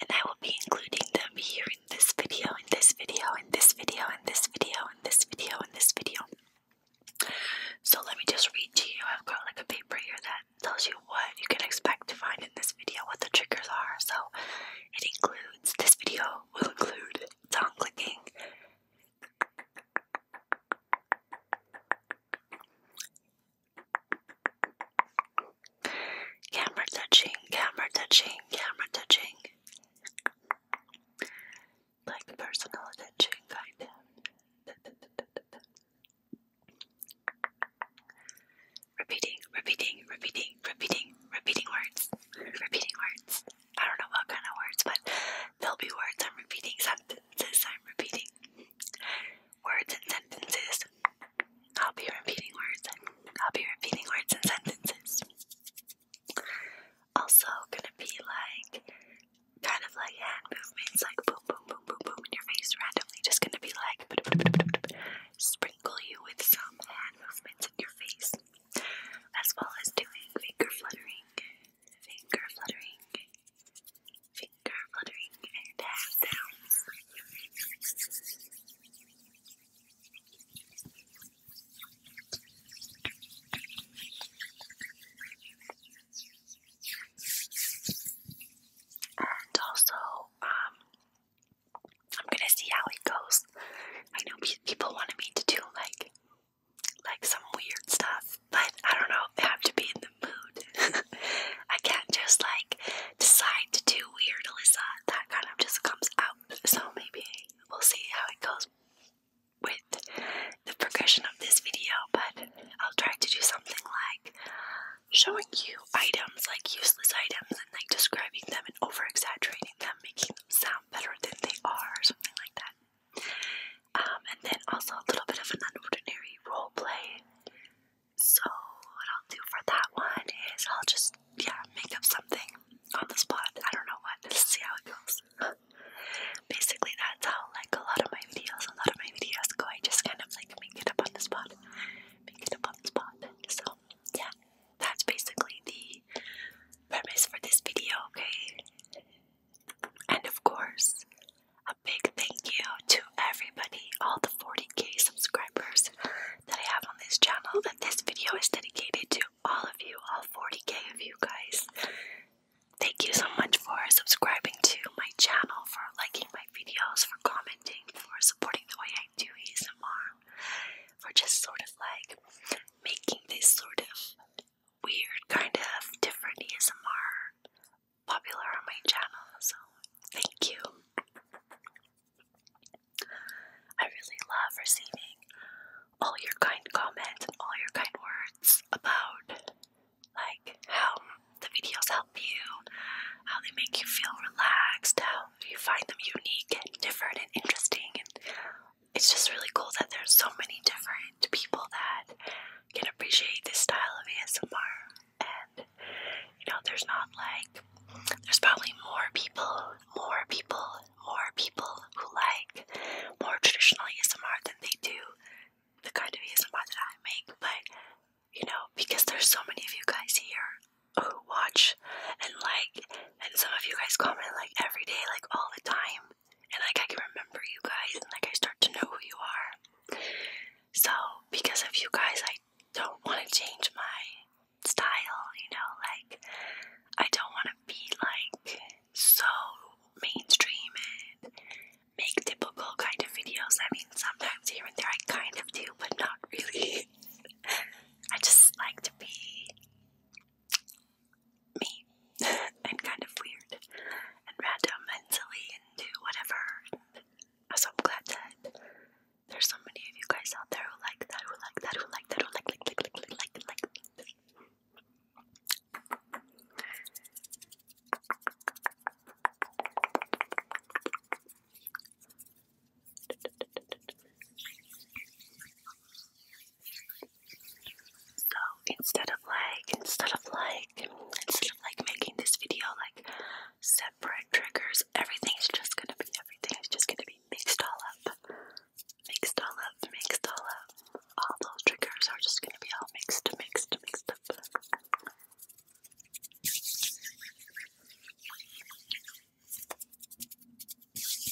and I will be including them here in this video, in this video, in this video, in this video, in this video, in this video. So let me just read to you. I've got like a paper here that tells you what you can expect to find in this video, what the triggers are. So it includes, this video will include tongue clicking, Camera touching, camera touching, camera touching. Like personal attention, Repeating, repeating, repeating, repeating, repeating words. Repeating words. I don't know what kind of words, but there'll be words I'm repeating, sentences I'm repeating. Words and sentences. I'll be repeating words and I'll be repeating words and sentences. Also gonna be like kind of like hand movements like boom boom boom boom boom in your face randomly just gonna be like sprinkle you with some hand movements in your face as well as doing finger fluttering finger fluttering finger fluttering and hand sounds and also, um, I'm gonna see how it goes. I know people wanted me to do like, like some weird stuff, but I don't know. I have to be in the mood. I can't just like decide to do weird, Alyssa. That kind of just comes out. So maybe we'll see how it goes with the progression of this video, but I'll try to do something like showing you items, like useless items, and like describing them and over exaggerating them, making them sound better than they are, or something like that. Um, and then also a little bit of an ordinary role play so, what I'll do for that one is I'll just, yeah, make up something on the spot. I don't know what. Let's see how it goes. Basically, that's how, like, a lot of my videos, a lot of my videos go. I just kind of, like, make it up on the spot. Make it up on the spot. So, yeah, that's basically the premise for this video, okay? And of course, a big thank you to everybody, all the 40k subscribers that I have this channel that this video is dedicated to all of you, all 40k of you guys. Thank you so much for subscribing to my channel, for liking my videos, for commenting, for supporting the way I do ASMR, for just sort of like making this sort of weird kind of different ASMR popular on my channel. So, thank you. I really love receiving all your kind comments and all your kind words about like how the videos help you, how they make you feel relaxed, how you find them unique and different and interesting it's just really cool that there's so many different people that can appreciate this style of ASMR and you know there's not like there's probably more people more people more people who like more traditional ASMR than they do the kind of ASMR that I make but you know because there's so many of you guys here who watch and like and some of you guys comment like every day like all the time and like I can remember you guys and like I start to know who you are so because of you guys I don't want to change my style, you know, like I don't want to be like so mainstream and make typical kind of videos. I mean, sometimes here and there I kind of do, but not really. I just like to be me and kind of weird and random and silly and do whatever. And so I'm glad that there's so many of you guys out there who like that, who like that, who like that, who like, like, like, like, like, like, like, like. So instead of like, instead of like, instead of like making this video like separate triggers Everything is just gonna be, everything's just gonna be mixed all up. Mixed all up, mixed all up. All those triggers are just gonna be all mixed, mixed, mixed up.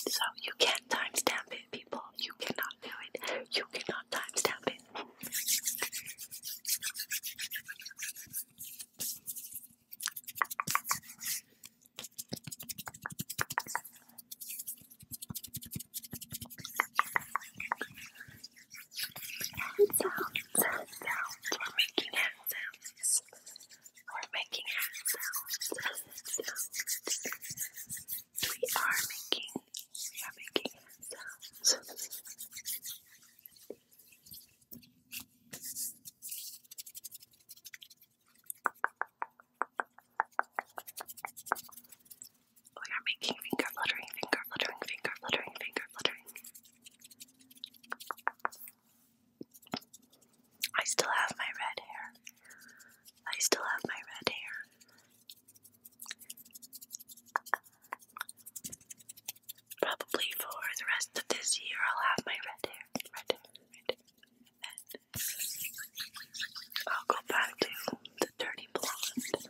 So you can't timestamp it, people. You cannot do it. You cannot timestamp it. Hand sounds, hand sounds, we're making hand sounds. We're making hand sounds, hand sounds. We are making, we are making hand sounds. We are making finger fluttering, finger fluttering, finger fluttering, finger fluttering. I still have my red hair. I still have my red hair. Probably for the rest of this year, I'll have my red hair. Red hair, I'll go back to the dirty blonde.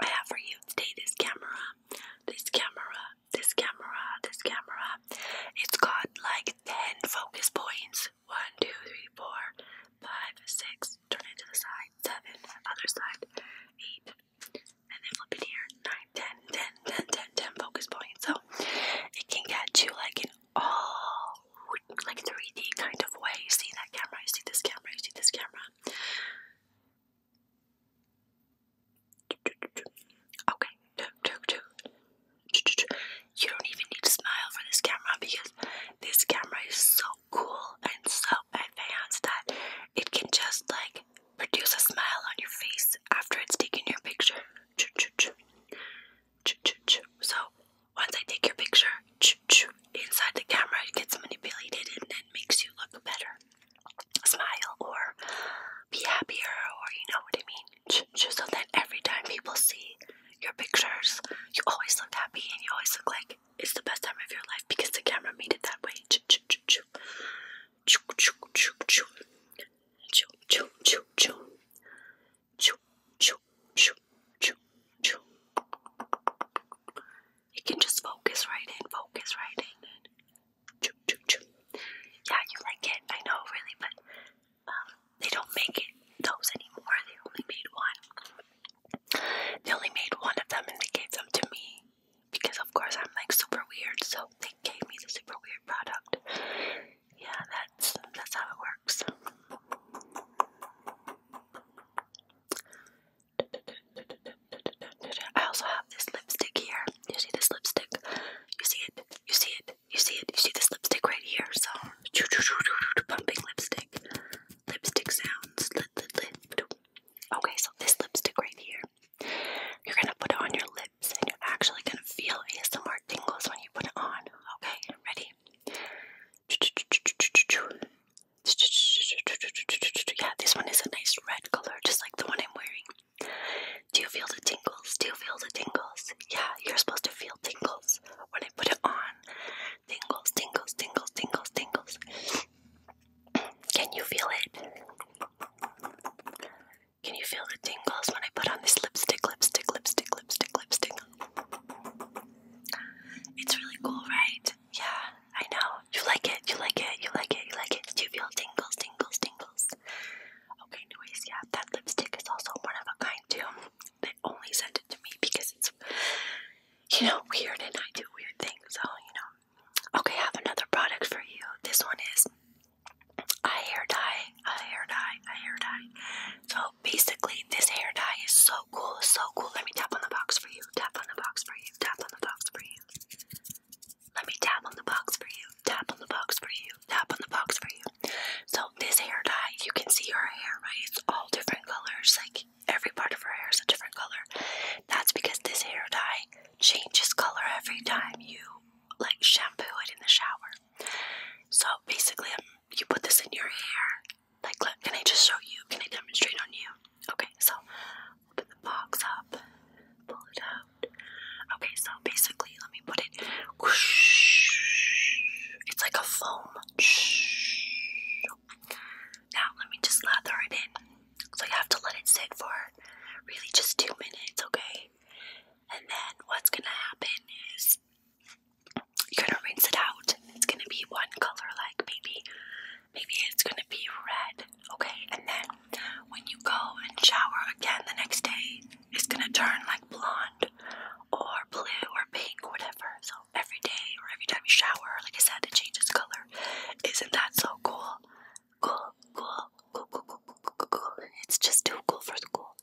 I have for you today this camera. This camera this camera, this camera, it's got like 10 focus points. 1, 2, 3, 4, 5, 6, turn it to the side, 7, other side, 8, and then flip it here, 9, 10, 10, 10, 10, focus points. So it can get you like in all like 3D kind of way. You see that camera, you see this camera, you see this camera. Okay, You don't even need to smile for this camera because this camera is so cool and so advanced that it can just like produce a smile on your face after it's taken your picture. So once I take your picture, inside the camera it gets manipulated and then makes you look better smile or be happier or you know what I mean. Just so that every time people see your pictures, you always look happy and you always look like it's the best time of your life because the camera made it that way. You can just focus right in, focus right in, Choo, choo, choo. Yeah, you like it. I know, really, but um, they don't make it those anymore. They only made one. They only made one of them, and they gave them to me because, of course, I'm like super weird. So they gave me the super weird product. Yeah, that's that's how it works. I also have this lipstick here. You see this lipstick? You see it? You see it? You see it? You see this lipstick right here? So, pumping lipstick. Lipstick sounds. Okay, so this lipstick right here, you're gonna put it on your lips and you're actually gonna feel ASMR tingles when you put it on. Okay, ready? Yeah, this one is a nice red color, just like the one I'm wearing. Do you feel the tingles? Do you feel the tingles? Yeah, you're supposed to feel tingles when I put it on. Tingles, tingles, tingles, tingles, tingles. Can you feel it? Can you feel the tingles when I put on this lipstick, lipstick, lipstick, lipstick, lipstick? It's really cool, right? Yeah. I know. You like it, you like it, you like it, you like it. Did you feel tingles, tingles, tingles? Okay, anyways, yeah, that lipstick is also one of a kind too. They only sent it to me because it's, you know, weird and I do weird things, so, you know. Okay, have another product for you. This one is a hair dye, a hair dye, a hair dye. So basically, this hair dye is so cool, so cool. Let me tap on the box for you, tap on the box for you, tap on the box for you. Let me tap on the box for you. Tap on the box for you. Tap on the box for you. So this hair dye, you can see her hair, right? It's all different colors. Like every part of her hair is a different color. That's because this hair dye changes color every time you like shampoo it in the shower. So basically, um, you put this in your hair. Like, look, can I just show you? Can I demonstrate on you? Okay, so open the box up, pull it out. Okay, so basically, let me put it. It's like a foam. Now, let me just lather it in. So, you have to let it sit for really just two minutes, okay? And then, what's gonna happen is you're gonna rinse it out. It's gonna be one color, like maybe maybe it's gonna be red, okay? And then when you go and shower again the next day, it's gonna turn like blonde or blue or pink, or whatever. So every day or every time you shower, like I said, it changes color. Isn't that so cool? Cool, cool, cool, cool, cool, cool, cool, cool. It's just too cool for school.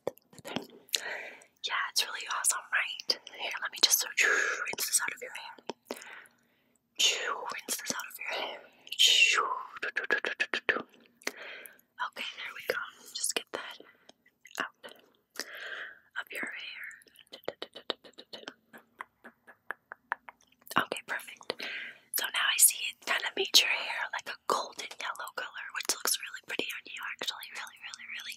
Yeah, it's really awesome, right? Here, let me just search rinse this out of your hair. Rinse this out of your hair. Okay, there we go. Just get that out of your hair. Okay, perfect. So now I see it kind of made your hair like a golden yellow color, which looks really pretty on you, actually. Really, really, really.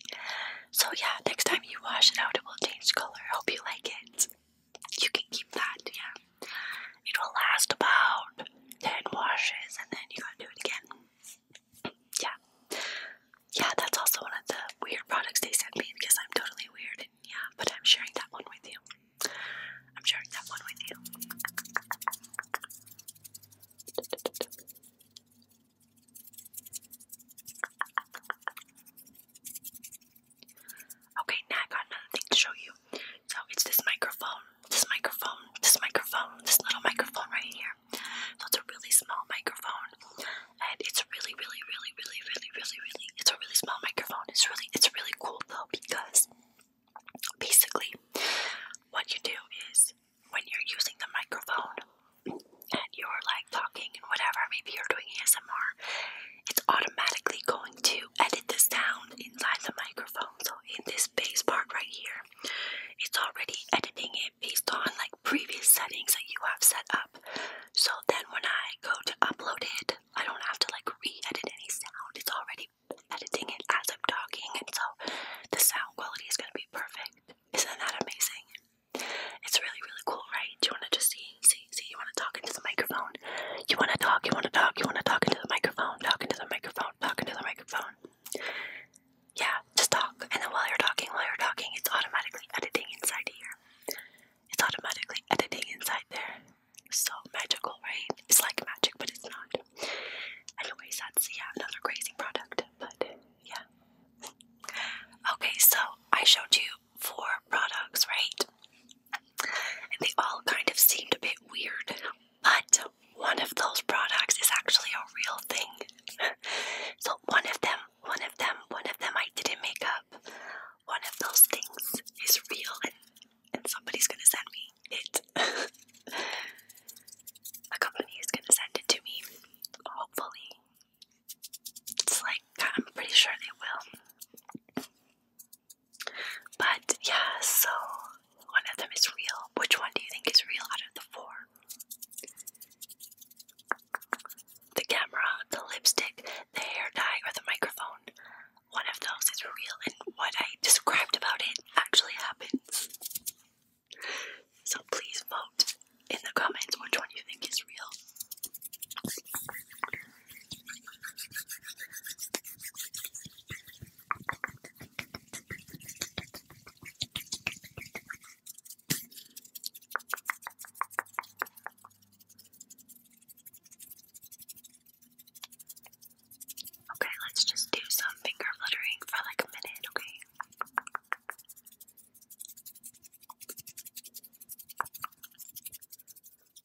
So, yeah, next time you wash it out, it will change color. Hope you like it you can keep that, yeah. It will last about 10 washes and then you gotta do it again. Yeah. Yeah, that's also one of the weird products they sent me because I'm totally weird and yeah, but I'm sharing that one with you. I'm sharing that one with you. Okay, now I got another thing to show you. So it's this microphone, this microphone, this microphone, this little microphone right here. So it's a really small microphone, and it's really, really, really, really, really, really, really, it's a really small microphone. It's really, it's really cool though because basically what you do is when you're using the microphone and you're like talking and whatever, maybe you're doing ASMR it's automatically going to edit the sound inside the microphone. So in this bass part right here, it's already editing it based on like previous settings that you have set up. So then when I go to upload it, I don't have to like re-edit any sound. It's already editing it as I'm talking and so the sound quality is gonna be perfect. Isn't that amazing? It's really really cool, right? Do you wanna just see see see, you want to talk into the microphone. You want to talk, you want to talk, you want to talk into the microphone, Talking into the microphone, Talking into the microphone. Yeah, just talk. And then while you're talking, while you're talking, it's automatically editing inside here. It's automatically editing inside there. So magical, right? It's like magic, but it's not. Anyways, that's, yeah, another crazy product, but yeah. Okay, so I showed you four products, right? And they all kind of seemed a bit weird, but one of those products is actually a real thing. so one of them, one of them, one of them I didn't make up. One of those things is real and, and somebody's gonna send me it. a company is gonna send it to me, hopefully. It's like, I'm pretty sure they will. But yeah, so one of them is real. Which one do you think is real out of the four? The camera, the lipstick, the hair dye, or the microphone. One of those is real, and what I described about it actually happens. So please vote in the comments which one do you think is real. Okay, let's just do some finger fluttering for like a minute, okay?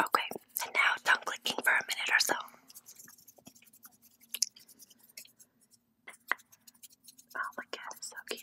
Okay, and now tongue clicking for a minute or so. Oh my god, it's so cute.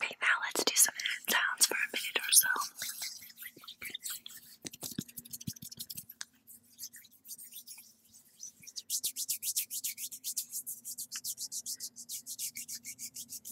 Okay, now let's do some hand sounds for a minute or so.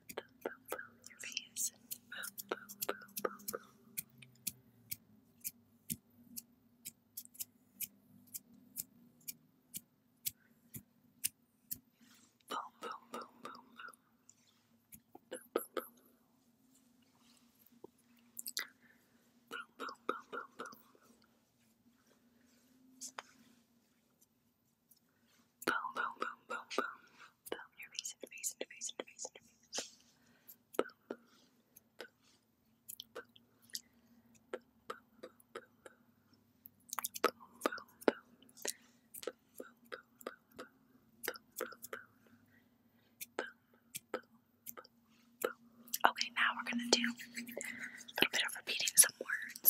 Boom, boom, boom, your face. Boom, boom, boom, boom, boom. Boom, boom, boom, boom, boom. Boom, boom, boom. Boom, boom, boom, boom, Boom, boom, boom, boom, boom. Boom your face into face into face into face into face. Boom, boom, boom, boom. Boom, boom, boom, boom, boom. Boom, boom, boom. Boom, boom, boom, boom, boom. Boom, boom, boom. Boom, boom, boom, boom. Okay, now we're gonna do a little bit of repeating some words.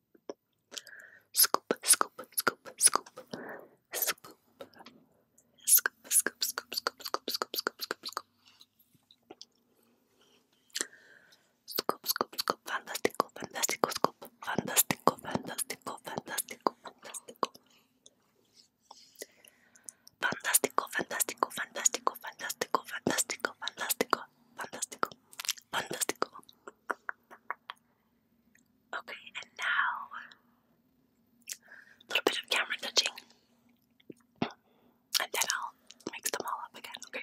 Scoop, scoop, scoop, scoop, scoop, scoop, scoop, scoop, scoop, scoop, scoop, scoop, scoop, scoop. Scoop, scoop, scoop, fantástico, fantástico, scoop, fantástico, fantástico, fantástico, fantástico. Fantástico, fantástico, fantástico, fantástico, fantástico, fantástico fantastico, fantastico. Okay, and now a little bit of camera touching, and then I'll mix them all up again. Okay.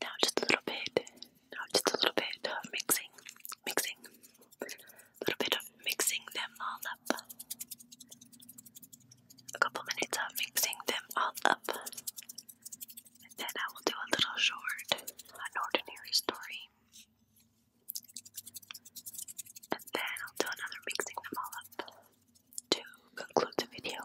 Now just a little bit, now just a little bit of mixing, mixing, a little bit of mixing them all up. A couple minutes of mixing them all up. And then I will do a little short, an ordinary story. And then I'll do another mixing them all up to conclude the video.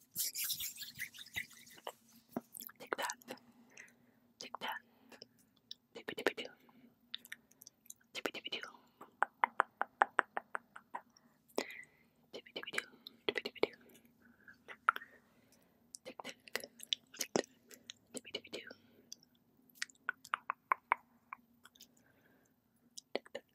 Tic tap, tic tap, tippy tippy doo, tippy tippy doo, tippy tippy doo, tippy tippy doo, tic tac, tic tac, tippy tippy doo, tic tac,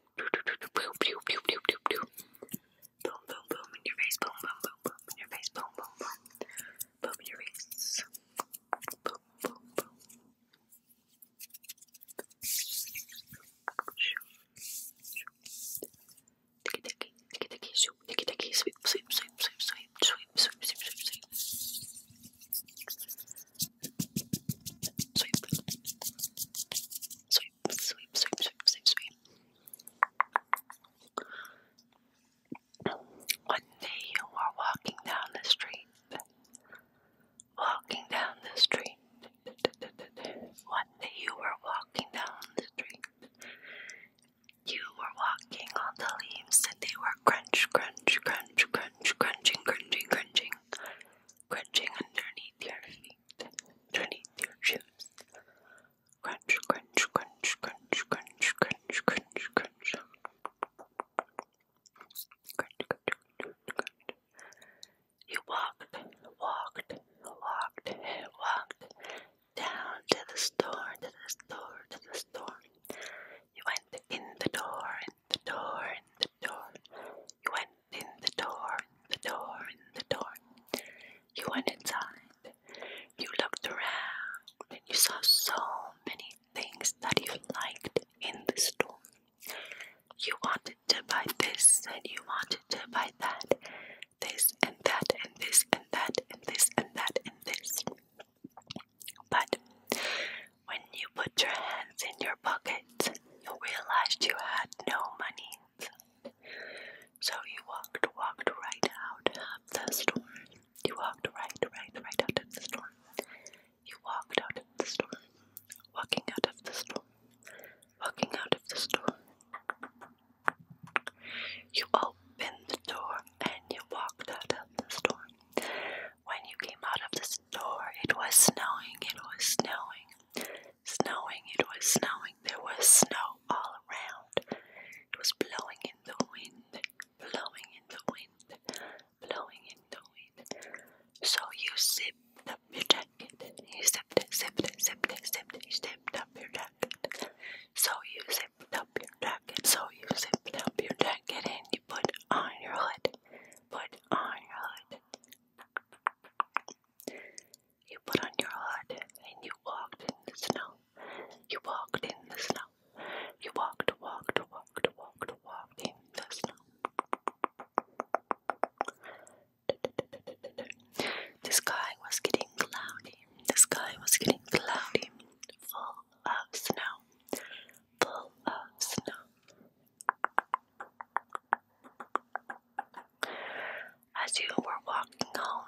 Boom, boom, boom, boom, boom, boom. Boom, boom, boom in your face. Boom, boom, boom, boom in your face. Boom, boom, boom. Boom in your face. Boom, boom, boom. Ticky, ticky, ticky, ticky, shoot, ticky, ticky, sweep, sweep, sweep, sweep, sweep, sweep, sweep, sweep, sweep, sweep. Sweep. Sweep sweep, sweep, sweep, sweep, sweep, sweep. One day you were walking down the street, walking down the street. One day you were walking down the street. You were walking on the leaves and they were crunch, crunch, crunch, crunch, crunching, crunching, crunching, crunching underneath your feet. 22 chips. Crunch, crunch, crunch, crunch, crunch, crunch, crunch, crunch. Crunch, crunch, crunch, crunch. You walked, walked, walked, walked down to the store, to the store, to the store. You went in the door, in the door, in the door. You went in the door, the door, the door. You went inside. You looked around and you saw so many things that you liked in the store. You wanted to buy this and you wanted to buy that, this and that, and this and that, and this and that, and this. But when you put your hands in your pockets, you realized you had no money. So you walked, walked right out of the storm. You walked right, right, right out of the storm. You walked out of the storm. Walking out of the storm. Walking out of the storm. You opened the door and you walked out of the storm. When you came out of the store, it was snowing, it was snowing. Snowing, it was snowing, there was snow all around. It was blowing in the wind, blowing in the wind, blowing in the wind. So you zipped up your jacket. You zipped zipped zipped zipped zipped up your jacket. So you zipped up your jacket, so you zipped up your jacket and you put on your hood. Put on your hood. You put on your hood and you walked in the snow. You walked in the snow. You walked, walked, walked, walked, walked in the snow. The sky was getting cloudy. The sky was getting cloudy. Full of snow. Full of snow. As you were walking home,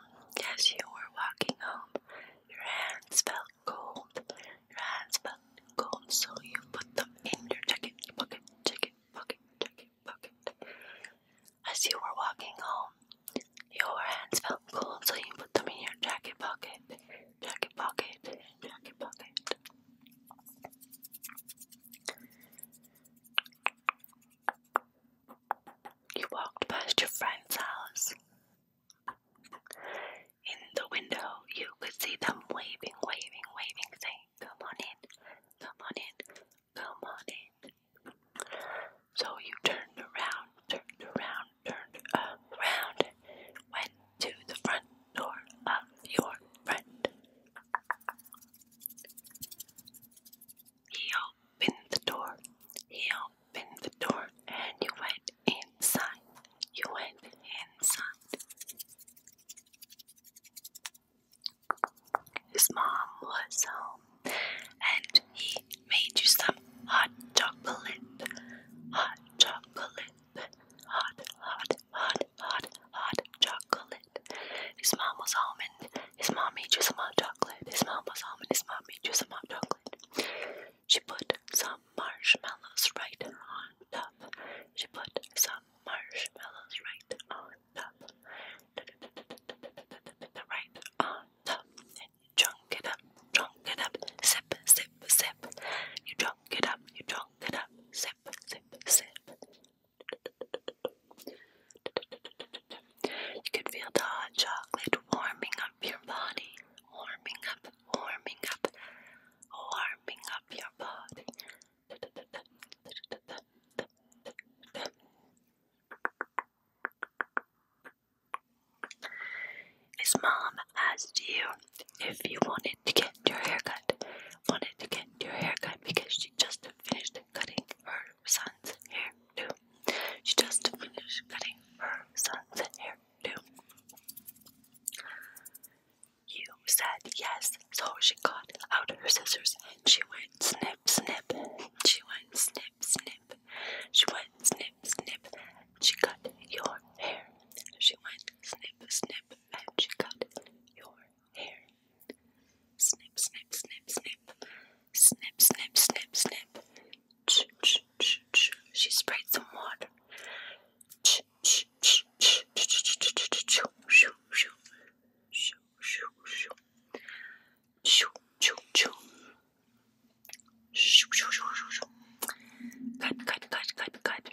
as you were walking home, your hands felt cold. Your hands felt cold, so you put them in your jacket pocket, jacket pocket, jacket pocket. As you were walking home, your hands felt cold, so you put them in your jacket pocket, jacket pocket, jacket pocket. You walked past your friend's house. In the window, you could see them waving, waving, waving, saying, Come on in, come on in, come on in. So you turned around, turned around, turned around, went to the front door of your friend. He opened the door. He opened the door and you went inside. You went inside. His mom was home and he made you some hot chocolate. Hot chocolate. Hot, hot, hot hot, hot, hot chocolate. His mom was home and his mom made you some hot chocolate. His mom was home and his mom made you some hot chocolate. She put some marshmallows right on top. She put some marshmallows right on top. Right on top. And you chunk it up, chunk it up, sip, sip, sip. You chunk it up, you chunk it up, sip, sip, sip. You could feel the hot chocolate warming up your body, warming up, warming up, warming up your body. His mom asked you if you wanted to get your haircut. Wanted to get your haircut because she just finished cutting her son's hair too. She just finished cutting her son's hair too. You said yes, so she got out her scissors and she went snip, snip. She went snip, snip. She went snip, snip. She cut your hair. She went snip, snip, and she cut your hair. Snip, snip, snip, snip. Snip, snip, snip, snip. Ch, ch, ch, ch. She sprayed some water. Ch, ch, ch, ch, ch, ch, ch, ch, ch, shoo, shoo, shoo, shoo, shoo, shoo, shoo, shoo, shoo, shoo, shoo, shoo. Cut, cut, cut, cut, cut.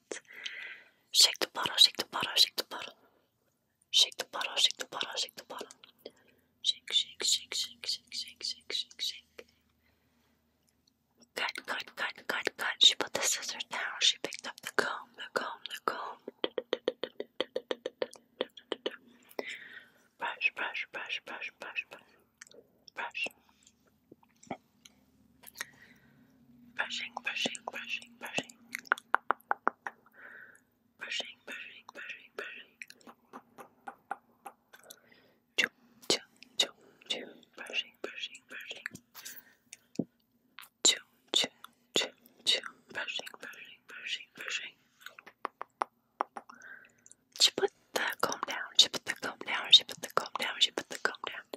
hands. Shake the bottle, shake the bottle, shake the bottle. Shake the bottle, shake the bottle, shake the bottle. Shake, shake, shake, shake, shake, shake, shake, shake, shake. Cut, cut, cut, cut, cut. She put the scissors down. She picked up the comb, the comb, the comb. Brush, brush, brush, brush, brush, brush. Brush. Brushing, brushing, brushing, brushing. Brushing, brushing, brushing, brushing. Choo, choo, choo, choo. Brushing, brushing, brushing. Choo, choo, choo, choo. Brushing, brushing, brushing, brushing. She put the comb down, she put the comb down, she put the comb down, she put the comb down.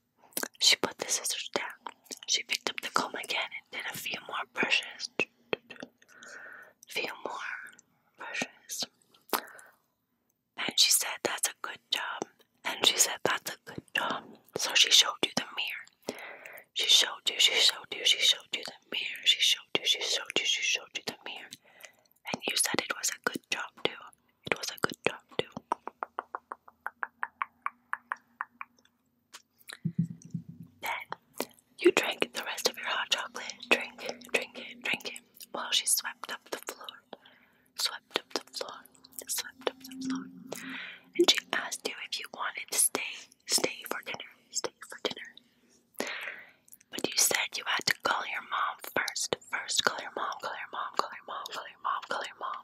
She put the scissors down. She picked up the comb again and did a few more brushes. Few more brushes. And she said, That's a good job. And she said, That's a good job. So she showed you the mirror. She showed you, she showed you, she showed you the mirror. She showed you, she showed you, she showed you the mirror. And you said it was a good job, too. It was a good job, too you drank the rest of your hot chocolate. Drink drink drink it. While she swept up the floor, swept up the floor, swept up the floor. And she asked you if you wanted to stay, stay for dinner, stay for dinner. But you said you had to call your mom first. First, call your mom, call your mom, call your mom, call your mom, call your mom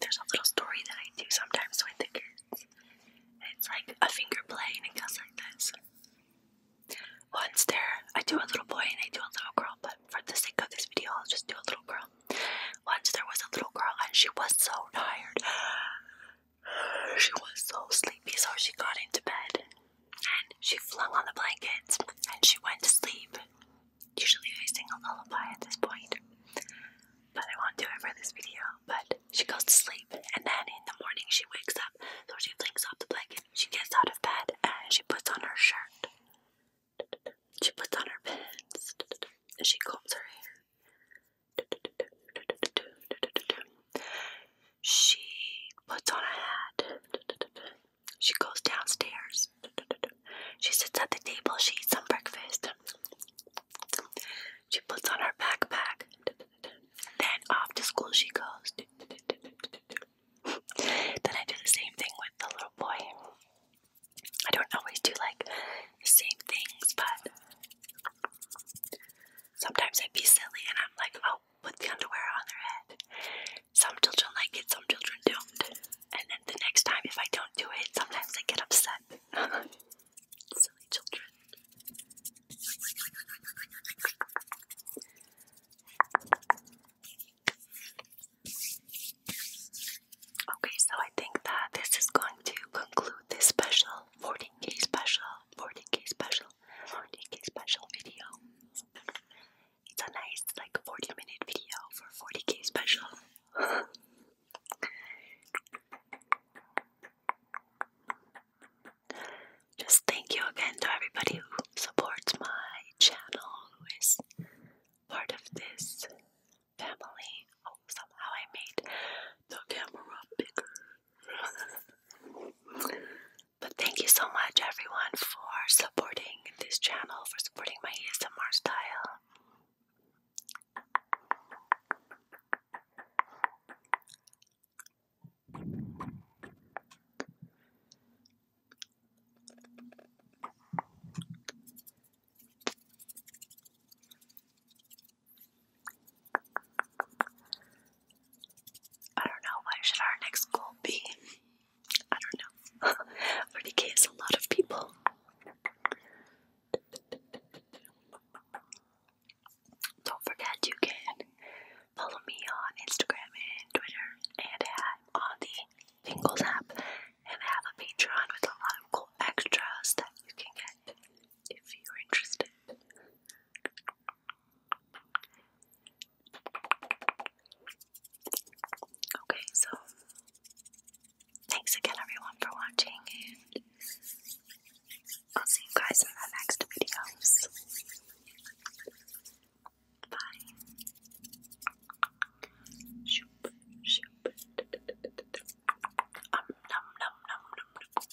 There's a little story that I do sometimes with the kids. It's like a finger play and it goes like this. Once there, I do a little boy and I do a little girl, but for the sake of this video, I'll just do a little girl. Once there was a little girl and she was so tired. She was so sleepy, so she got into bed and she flung on the blankets and she went to sleep. Usually I sing a lullaby at this point, but I won't do it for this video. But she goes to sleep and then in the morning she wakes up, so she flings off the blanket, she gets out of bed and she puts on her shirt. She puts on her pants and she combs her hair. She puts on a hat. She goes downstairs. She sits at the table. She eats some breakfast. She puts on her backpack. Then off to school she goes. Then I do the same thing with the little boy. I don't always do like the same things, but sometimes I'd be silly and I'm like, oh, put the underwear on their head. Some children like it, some children don't. And then the next time, if I don't do it, sometimes they get upset. Silly children. Okay, so I think that this is going to conclude this special 14k special, 14k special, 14k special video. It's a nice like 40 minute video for 40k special. Just thank you again to everybody who supports my channel, who is part of this family. Oh, somehow I made the camera bigger. But thank you so much, everyone, for supporting this channel, for supporting my ASMR style. I don't know, what should our next goal be? I don't know. 40k is a lot of people. Don't forget you can follow me on Instagram and Twitter, and I'm on the Pingles app, and have a Patreon with a lot of cool extras that you can get if you're interested. Okay, so thanks again, everyone, for watching, and I'll see you guys in the next videos. Bye. Shoop, shoop. num, num, num, num, num.